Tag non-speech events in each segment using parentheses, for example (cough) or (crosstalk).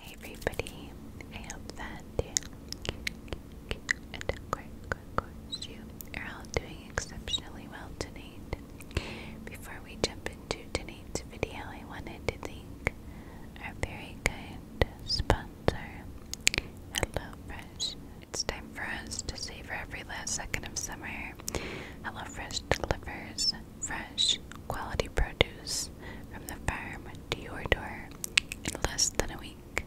Hey everybody, I hope that you are all doing exceptionally well tonight. Before we jump into tonight's video, I wanted to thank our very kind sponsor, HelloFresh. It's time for us to savor every last second of summer. HelloFresh delivers fresh, quality produce from the farm to your door in less than a week,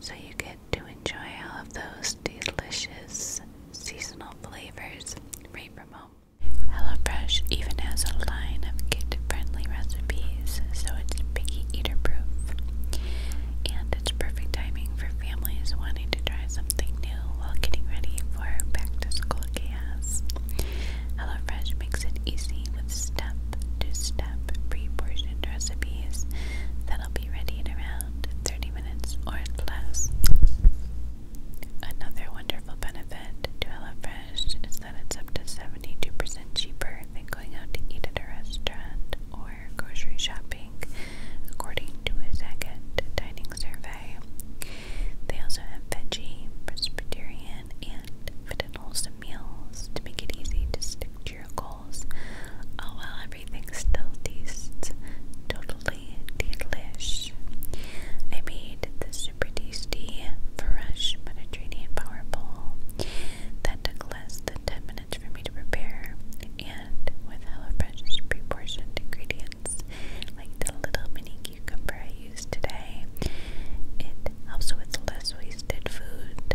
so you get to enjoy all of those delicious seasonal flavors right from home. HelloFresh even has a line of kid-friendly recipes, so it's picky eater-proof, and it's perfect timing for families wanting to try something new while getting ready for back-to-school chaos. HelloFresh makes it easy with step to step pre portioned recipes that'll be ready in around 30 minutes or less. Another wonderful benefit to HelloFresh is that it's up to 72% cheaper than going out to eat at a restaurant or grocery shopping, according to a Zagat dining survey. They also have veggie, Presbyterian, and Fidel meals to make it easy to stick to your goals. Oh, well, everything still tastes totally delish. I made the super tasty fresh Mediterranean power bowl that took less than 10 minutes for me to prepare, and with HelloFresh's pre portioned ingredients like the little mini cucumber I used today. It helps with less wasted food.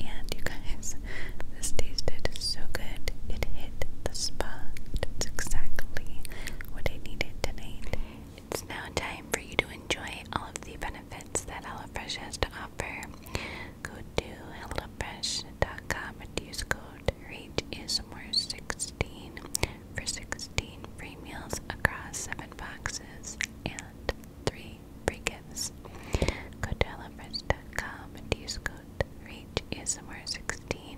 And you guys, (laughs) this tasted so good. It hit the spot. It's exactly what I needed tonight. It's now time for you to enjoy all of the benefits that HelloFresh has to offer. Go to HelloFresh.com and use code RATE is more 16 for 16 free meals across 7 boxes and 3 free gifts. Go to HelloFresh.com and use code REACHASMR16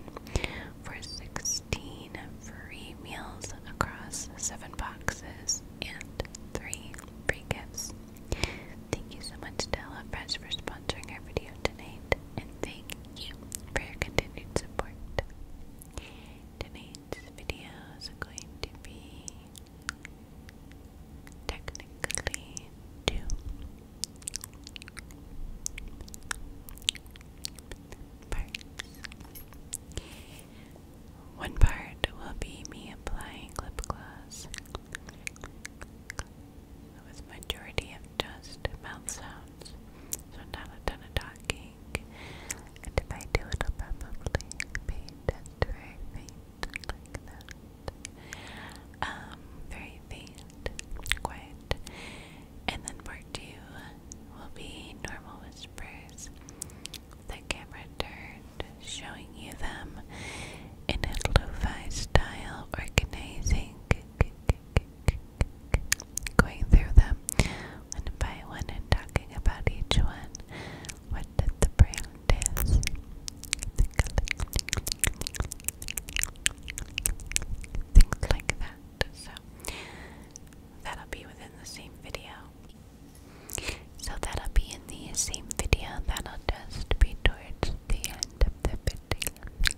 for 16 free meals across 7 boxes and 3 free gifts. Thank you so much to HelloFresh for sponsoring our video tonight, and thank you for your continued support. Tonight's video is going to be technically two. Parts. One part will be me applying lip gloss with majority of just mouth sounds, so not a ton of talking and if I do, it'll probably be very faint, like that. Um, very faint, quiet. And then part two will be normal whispers. The camera turned, showing you them in a lo-fi style, organizing going through them one by one and talking about each one. What did the brand is? Things like that. So that'll be within the same video. So that'll be in the same video. That'll just be towards the end of the video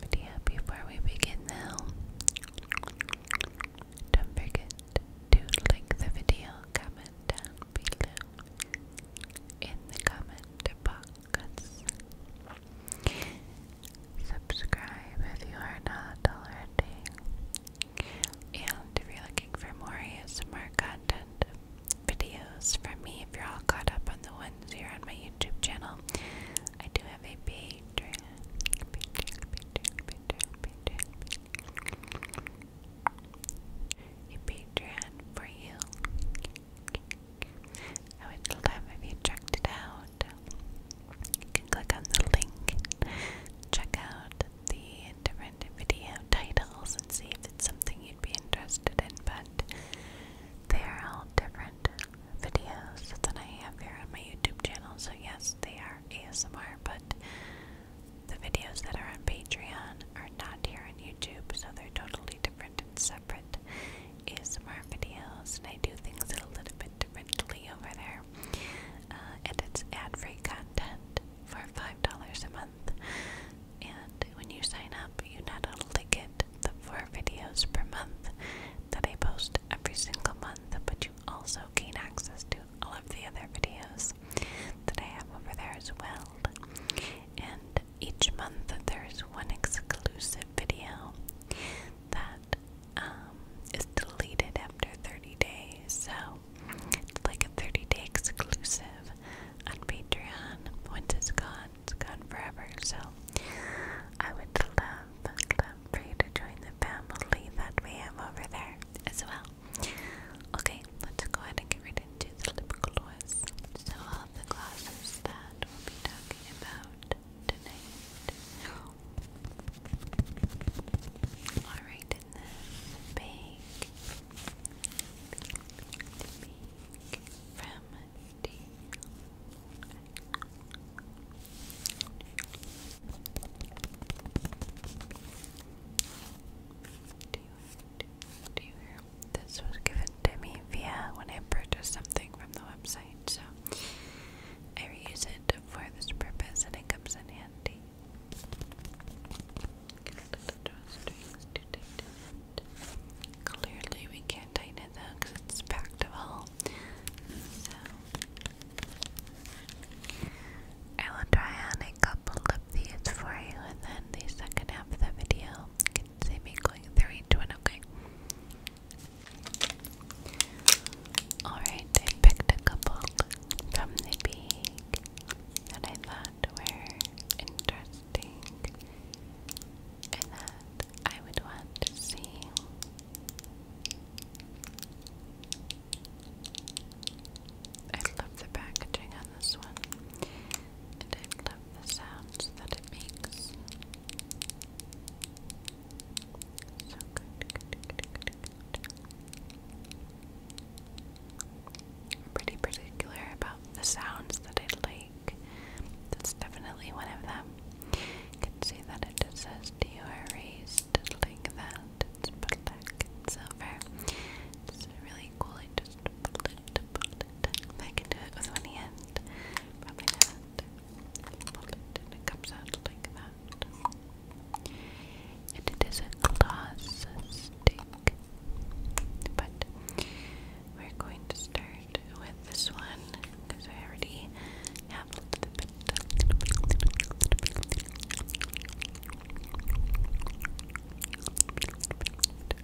video before we begin now. Don't forget to like the video, comment down below in the comment box. Subscribe if you are not already. And if you're looking for more ASMR content videos from me, if you're all caught up on the ones here on my YouTube channel, I do have a page Patreon, Patreon, Patreon, Patreon, Patreon. for you. I would love if you checked it out. You can click on the link, check out the different video titles, and see if it's something you'd be interested in. But they're all different videos that I have here on my YouTube channel. So, yes, they are ASMR, but the videos that are on Patreon are not here on YouTube, so they're totally different and separate ASMR videos. And I do things a little bit differently over there. Uh, and it's ad free content for $5 a month. And when you sign up, you not only get the four videos per month that I post every single month, but you also gain access to all of the other videos that I have over there as well. And each month there's one exclusive video that um, is deleted after 30 days. So it's like a 30 day exclusive on Patreon. Once it's gone, it's gone forever. So I would love, free to join the family that we have over there as well. Okay, let's go ahead and get right into the lip gloss. So all the glosses that we'll be talking about tonight are right in this bag. from D do you, do, you hear? This was given to me via when I purchased something from the website, so I reuse it for this purpose and it comes in handy. Clearly, we can't tighten it though because it's packed of all. So, I will try on a couple of for you, and then the second half of the video you can see me going through each one, okay? Alright, I picked a couple from the big that I thought were interesting and that I would want to see. I love the packaging on this one, I love the sounds that it makes. So good, good, good, good, good. pretty particular about the sounds that I like. That's definitely one of them can see that it says Dior like that. It's black and silver. It's really cool. I just I can do it with one hand, comes out like that. it is a gloss stick. But we're going to start with this one because I already have a little bit.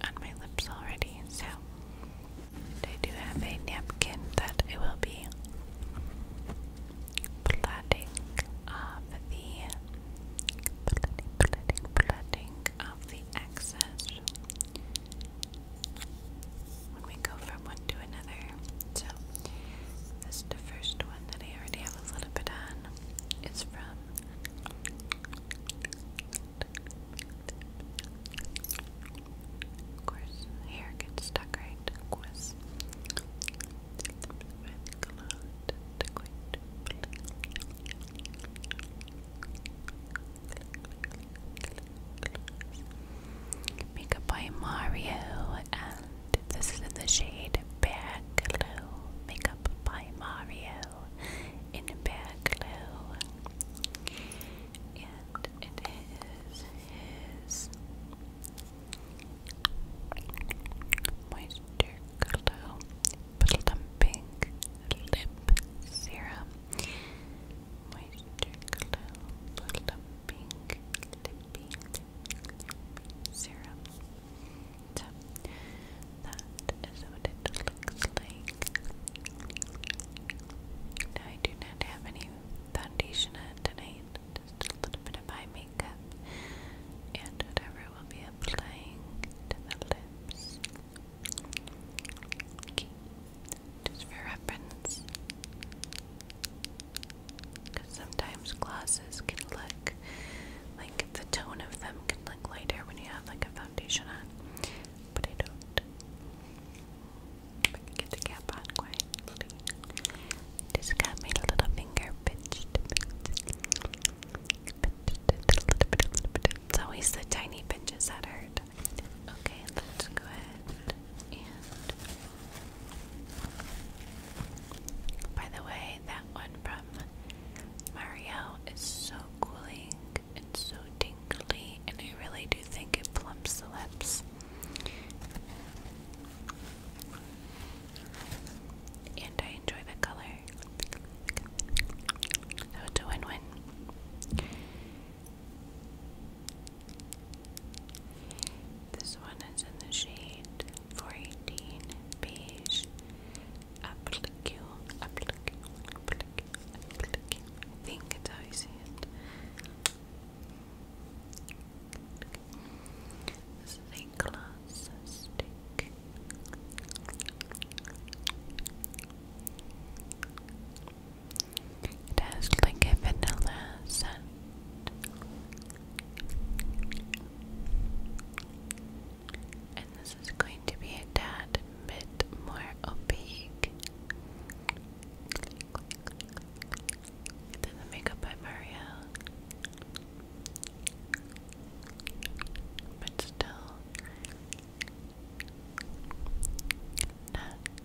On my lips already, so I do have a napkin that I will be plotting of the plotting, plotting, plotting of the excess when we go from one to another. So, this is the first one that I already have a little bit on. It's from of course, hair gets stuck, right? Makeup by Mario, and this is in the shade Bear Glow. Makeup by Mario in Bear Glow. And it is his Moisture Glow Plumping Lip Serum. Moisture Glow Plumping tippy, syrup. So that is what it looks like. I do not have any foundation on tonight, just a little bit of eye makeup and whatever will be applying to the lips. just for reference because sometimes glasses can look like the tone of them can look lighter when you have like a foundation on, but I don't. If I can get the cap on This Just made a little finger pinched. It's always the tiny pinches that hurt. Okay, let's go ahead and by the way, that one from Mario is so cooling and so tingly, and I really do think it plumps the lips. And I enjoy the color. So it's a win win. This one is in the shade 418 beige. Applique, applique, applique, applique. think it's how you say it. This It has like a vanilla scent and this is going to be a tad bit more opaque than the makeup by Mario. But still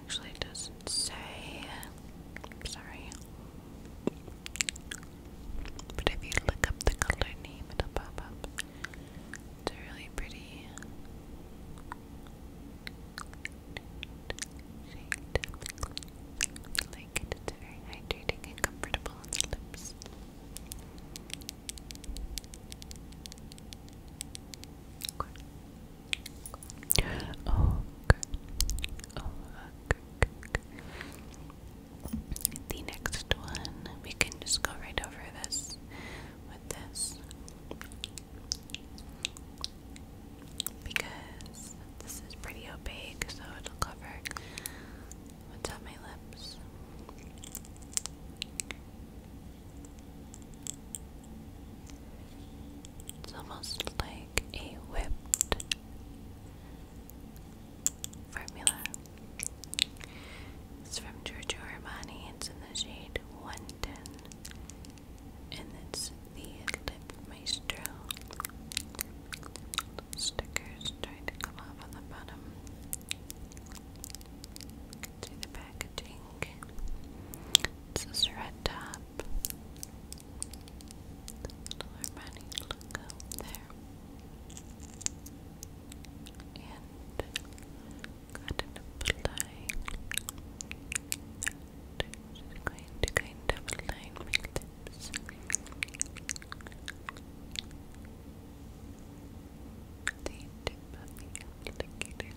actually doesn't say. sorry. But if you look up the color name, it'll pop up. It's really pretty shade. like It's very hydrating and comfortable on the lips. The next one, we can just go right over this with this. Because this is pretty opaque, so it'll cover what's on my lips. It's almost like a whipped formula. It's from Giorgio Armani. It's in the shade 110. And it's the Lip Maestro. Stickers trying to come off on the bottom to the packaging. It's this red top. Little Armani logo there. And got an apply. I'm just going to kind of align my lips. The tip of the applicator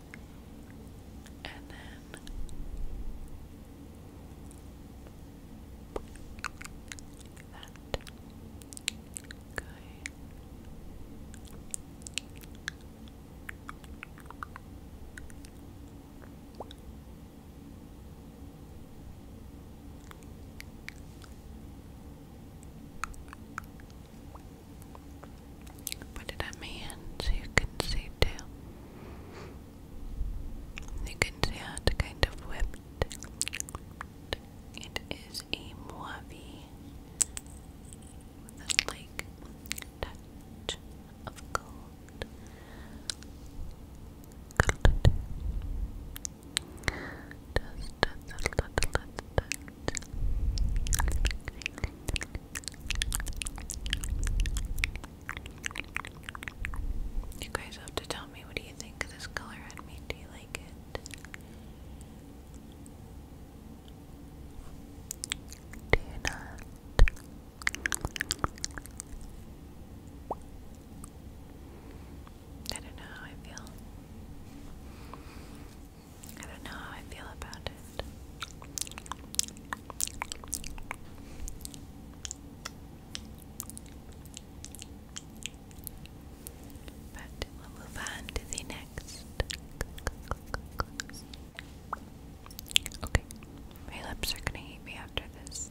and then that guy. Okay. Put it on my so you can see too. You can see how it's kind of whipped. It is a mauve with a like touch of gold. Gold. You guys have to tell me what do you think of this color on me? Do you like it? Do you not? I don't know how I feel. I don't know how I feel about it. But we'll move on to the next. Okay, my lips are gonna eat me after this.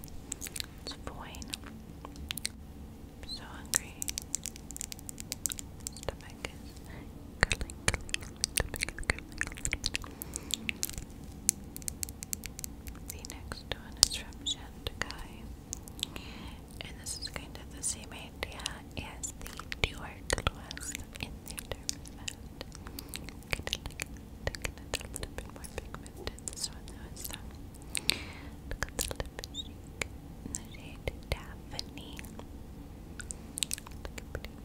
so hungry stomach is The next one is from Shantakai. And this is kind of the same idea as the Dewar class in the term that kind of like taking it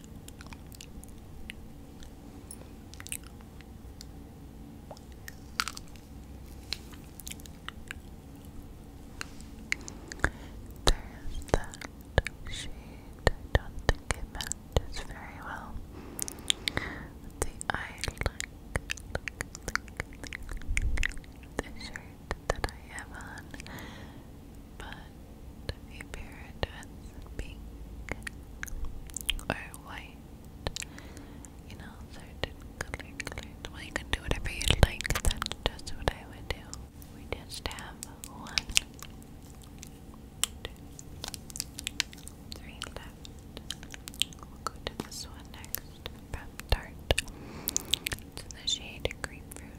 There's that shade. I don't think it matches very well. The eye look, The shirt that I have on, but a parrot with pink or white, you know, certain color Well, you can do whatever you like, that's just what I would do. We just have one, two, three left. We'll go to this one next from Tarte. the shade grapefruit.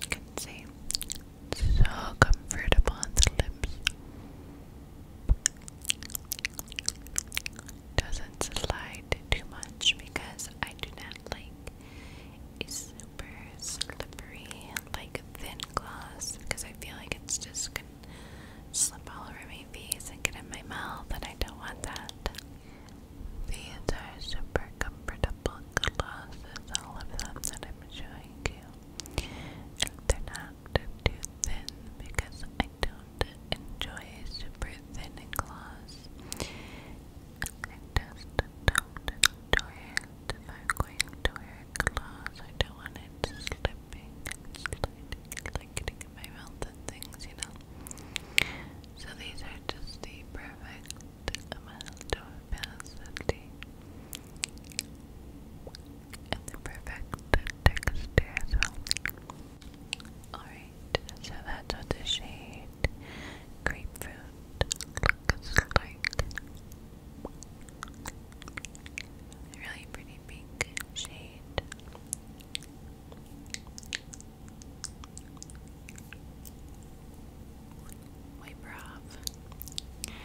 You can see so comfortable on the lips doesn't slide too much because I do not like a super slippery, like thin gloss because I feel like it's just gonna slip all over my face and get in my mouth, and I don't want that. These are super comfortable glosses, all of them that I'm showing you. they're not too thin because I don't enjoy super thin gloss. I don't enjoy it. If I'm going to wear gloves, I don't want it slipping my mouth things, you know. So these are just the perfect amount of opacity and the perfect texture as well. Alright, so that's what the shade grapefruit Really pretty pink shade. Wiper off.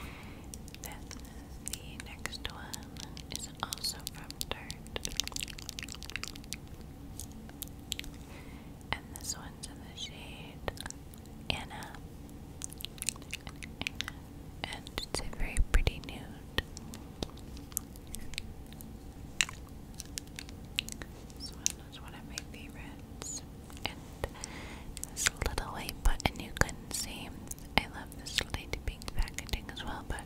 the next one is also from Dirt. And this one's in the shade Anna. And it's a very pretty nude. This one is one of my favorites. And this little white button you couldn't see. I love this light pink packaging as well, but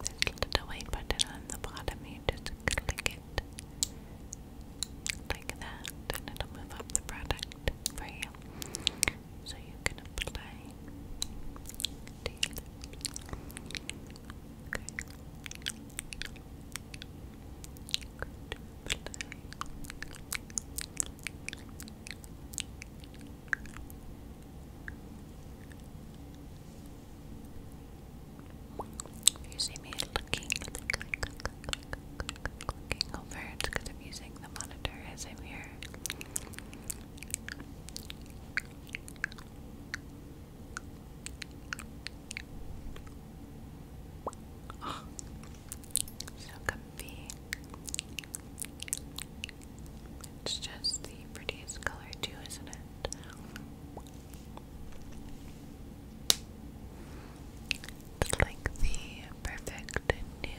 this little white button on the bottom you just click it like that, and it'll move up the product for you. So you can apply you see me looking, looking over, because I'm using the monitor as I'm so comfy. It's just the prettiest color, too, isn't it? It's like the perfect nude.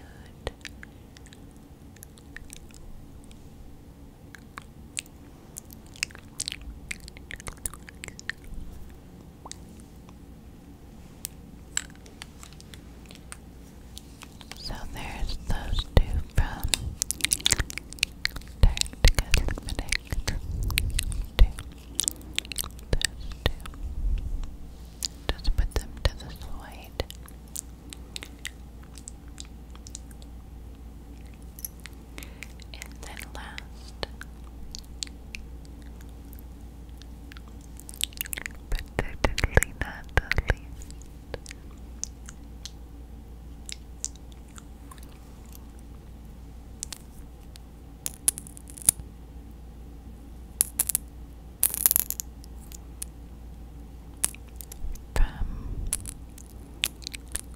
So there's those two from don't get to those two. Just put them to the side. And then last, but certainly not the least,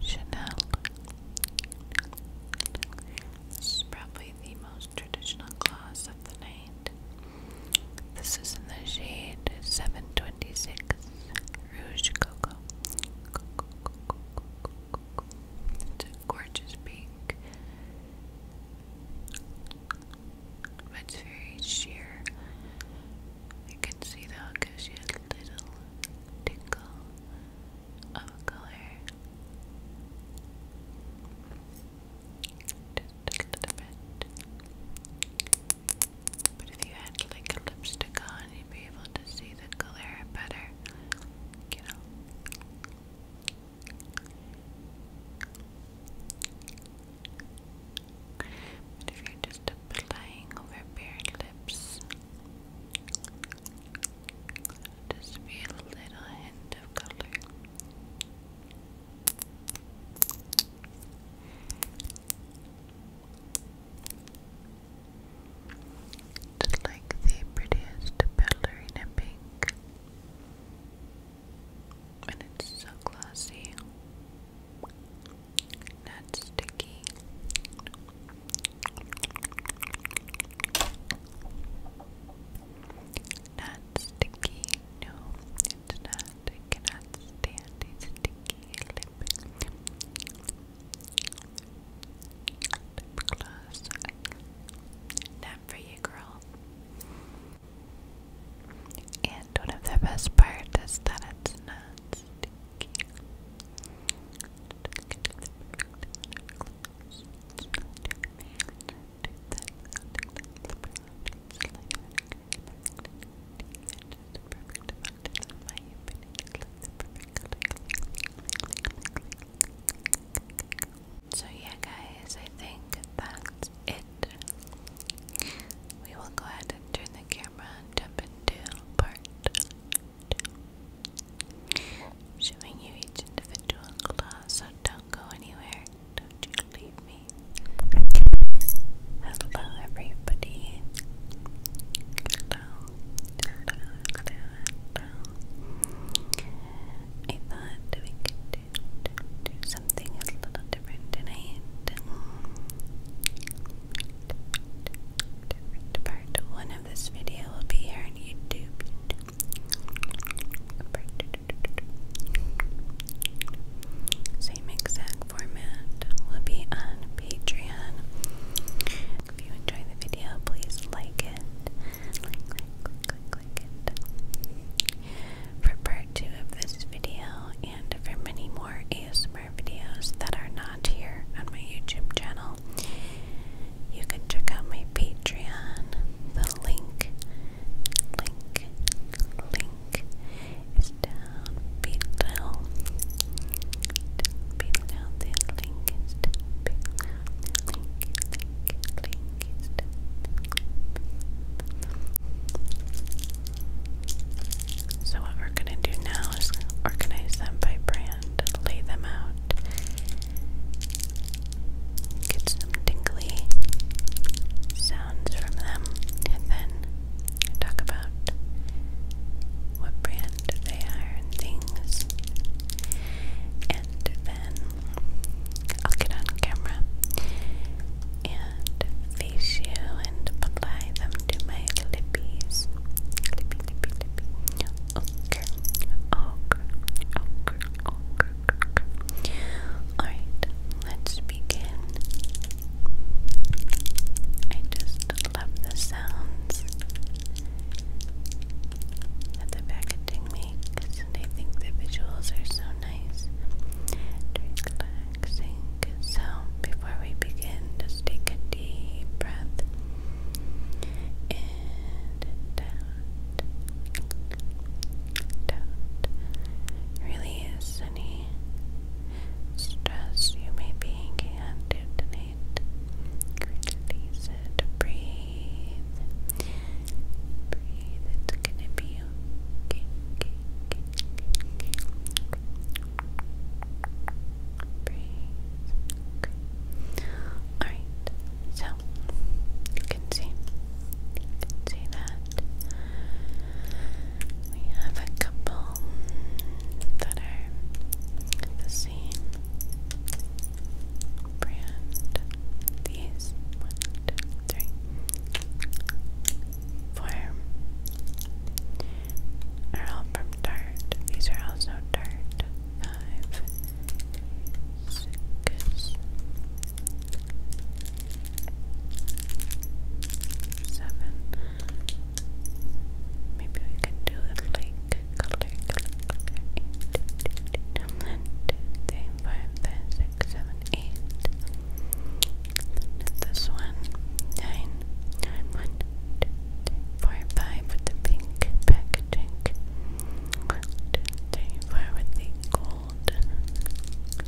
Chanel. This is probably the most traditional gloss of the night. This is in the shade 726. Rouge Coco. gorgeous pink. But it's very sheer. You can see though it gives you a little tinkle of color. But if you had like a lipstick on, you'd be able to see see the color better, you if you're just applying over bare lips, just be a little hint of color. Just like the prettiest ballerina pink. And it's so glossy. Not sticky. Not sticky, no, it's not. I cannot stand a sticky lip. Lip gloss. for you, girl. And one of the best parts is that it's not so, yeah, guys, I think that's it. We will go ahead and turn the camera and into part showing you each individual claw. So, don't go anywhere, don't you leave me. Hello, everybody. I thought we could do, do, something a little different tonight. part one of this video will be here on YouTube. Same exact format will be on Patreon. If you enjoy the video, please like it. Like, like, click, click, click it. For part two of this video, and for many more ASMR videos that are not here on my YouTube channel, you can check out my Patreon. The link, link, link is down below. Down below, So what we're gonna do now is organize them by brand, lay them out, get some tingly sounds from them, and then talk about what brand they are and things. And then I'll get on camera and face you and apply them to my lippies. Lippy, lippy, lippy. Ochre, ochre, ochre, ochre, ochre. Alright, let's begin. I just love the sounds that the packaging makes, and think the visuals are so nice So, before we begin, just take a deep breath and out. Out. Really any stress you may be hanging on it. Breathe. Breathe. It's gonna be okay. okay, okay, okay. Breathe. Alright. So you can see. see that. We have a couple that are same brand. These one, two, three, four are all from Tarte. These are also Tarte. Five, six, seven. Maybe we could do it like color, color, color, 1, this one, 9, with the pink packaging 1, with the gold you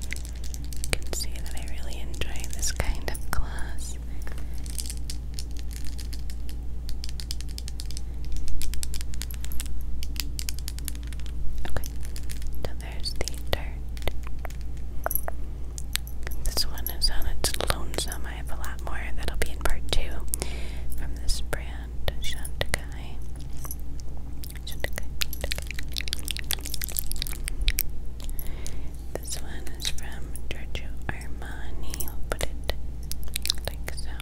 can see that I really enjoy this kind of gloss Okay, so there's the dirt. This one is on its lonesome. I have a lot more that'll be in part two from this brand, Shantakai. Shantakai, This one is from Giorgio Armani. I'll put it like so.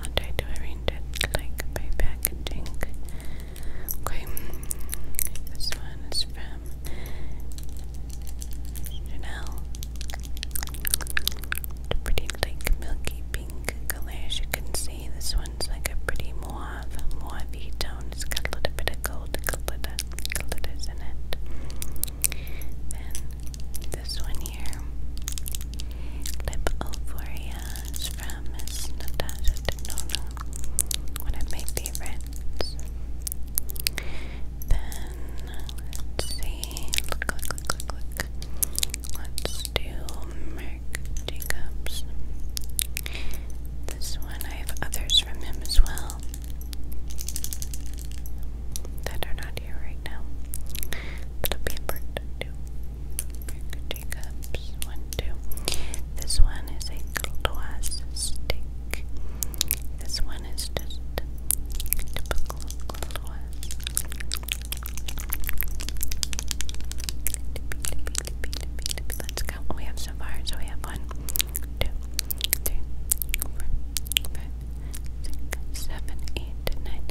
I'll try to arrange it like by packaging. Okay, this one is from Chanel. pretty like milky pink color as you can see. This one's like a pretty mauve, mauvey tone. It's got a little bit of gold glitter glitters in it. Then this one here, Lip Euphoria is from Miss Natasha Denona, one of my Then see, Let's do Merc Jacobs. This one, I have others from him as well that are not here right now. That'll be important one, two. This one is a gloss stick. This one is just typical gloss. Oh, we have some fire, So we have one, two, three, four, five, six, seven, eight, nine,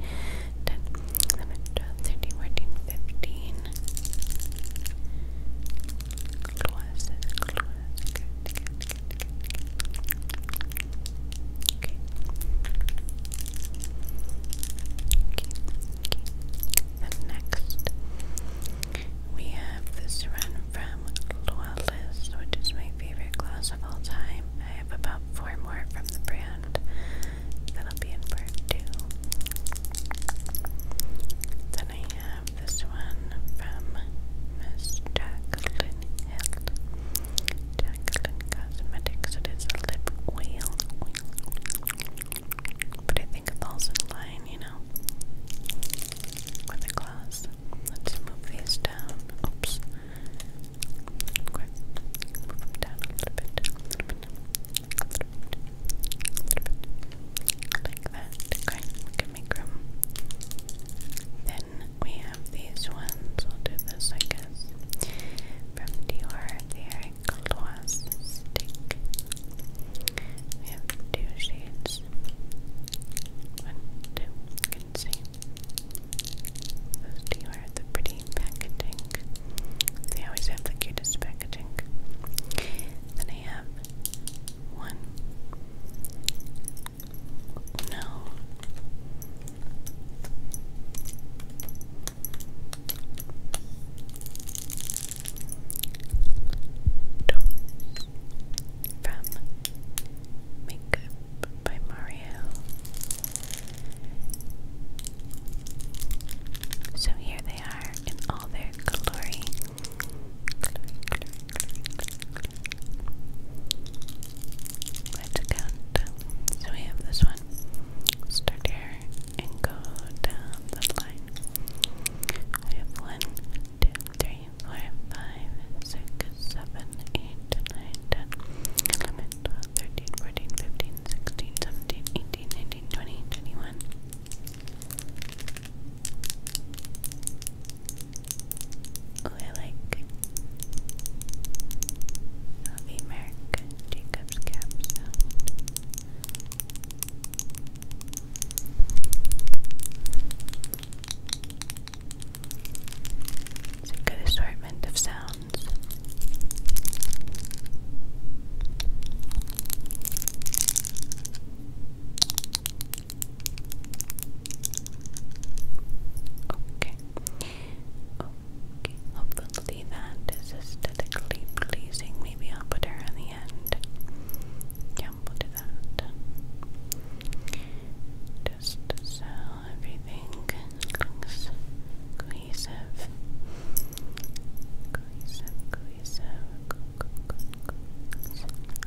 ten, eleven, twelve, thirteen, fourteen, fifteen. Close, next, we have the Serrano from Loyalist, which is my favorite gloss of all time. I have about four more from the brand that'll be in part two. Then I have this one from Miss Jacqueline Hill. Cosmetics. It is a lip wheel, But I think it falls in line, you know, with the gloss. Let's move these down. Oops. Okay. down a little bit. Like that. Okay. We can make room. Then we have these ones. We'll do this, I guess. From Dior, the Eric Gloss Stick. We have two shades is one, two, you can those two are the pretty packaging they always have the cutest packaging then I have one no Doors from Makeup by Mario. So here they are in all their glory. Let's count. So we have this one. Start here and go down the line. We have one, two, three three, four, five, six, seven, eight, nine, ten, eleven, twelve, thirteen, fourteen, fifteen, sixteen, seventeen, eighteen, nineteen, twenty, twenty-one. Oh, I like Harvey Merrick, Jacob's cap sound. It's a good assortment of sounds. Okay. Okay. Hopefully that is aesthetically pleasing. Maybe I'll put her on the end yeah, we'll do that. Just so everything looks cohesive. Cohesive, cohesive,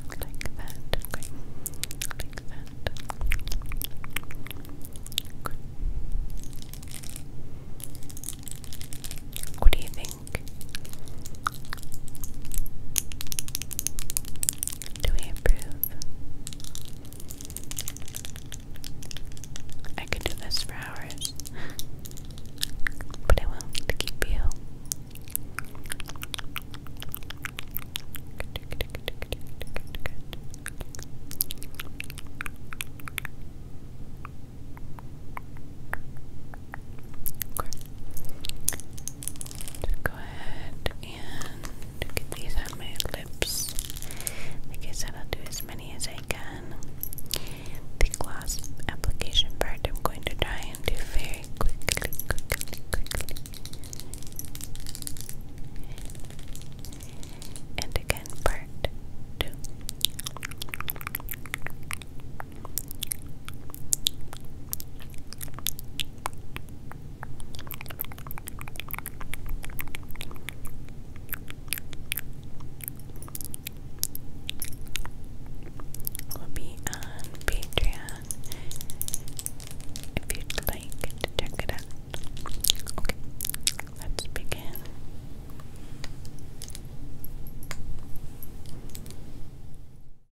like that, Like that. What do you think? Do we approve? I could do this for hours, but I will to keep you go ahead and get these on my lips. Like I said, I'll do as many as I can. The gloss application part I'm going to try and do very quickly, quickly, quickly. And again, part two. We'll be on Patreon if you'd like check it out. Okay, let's begin.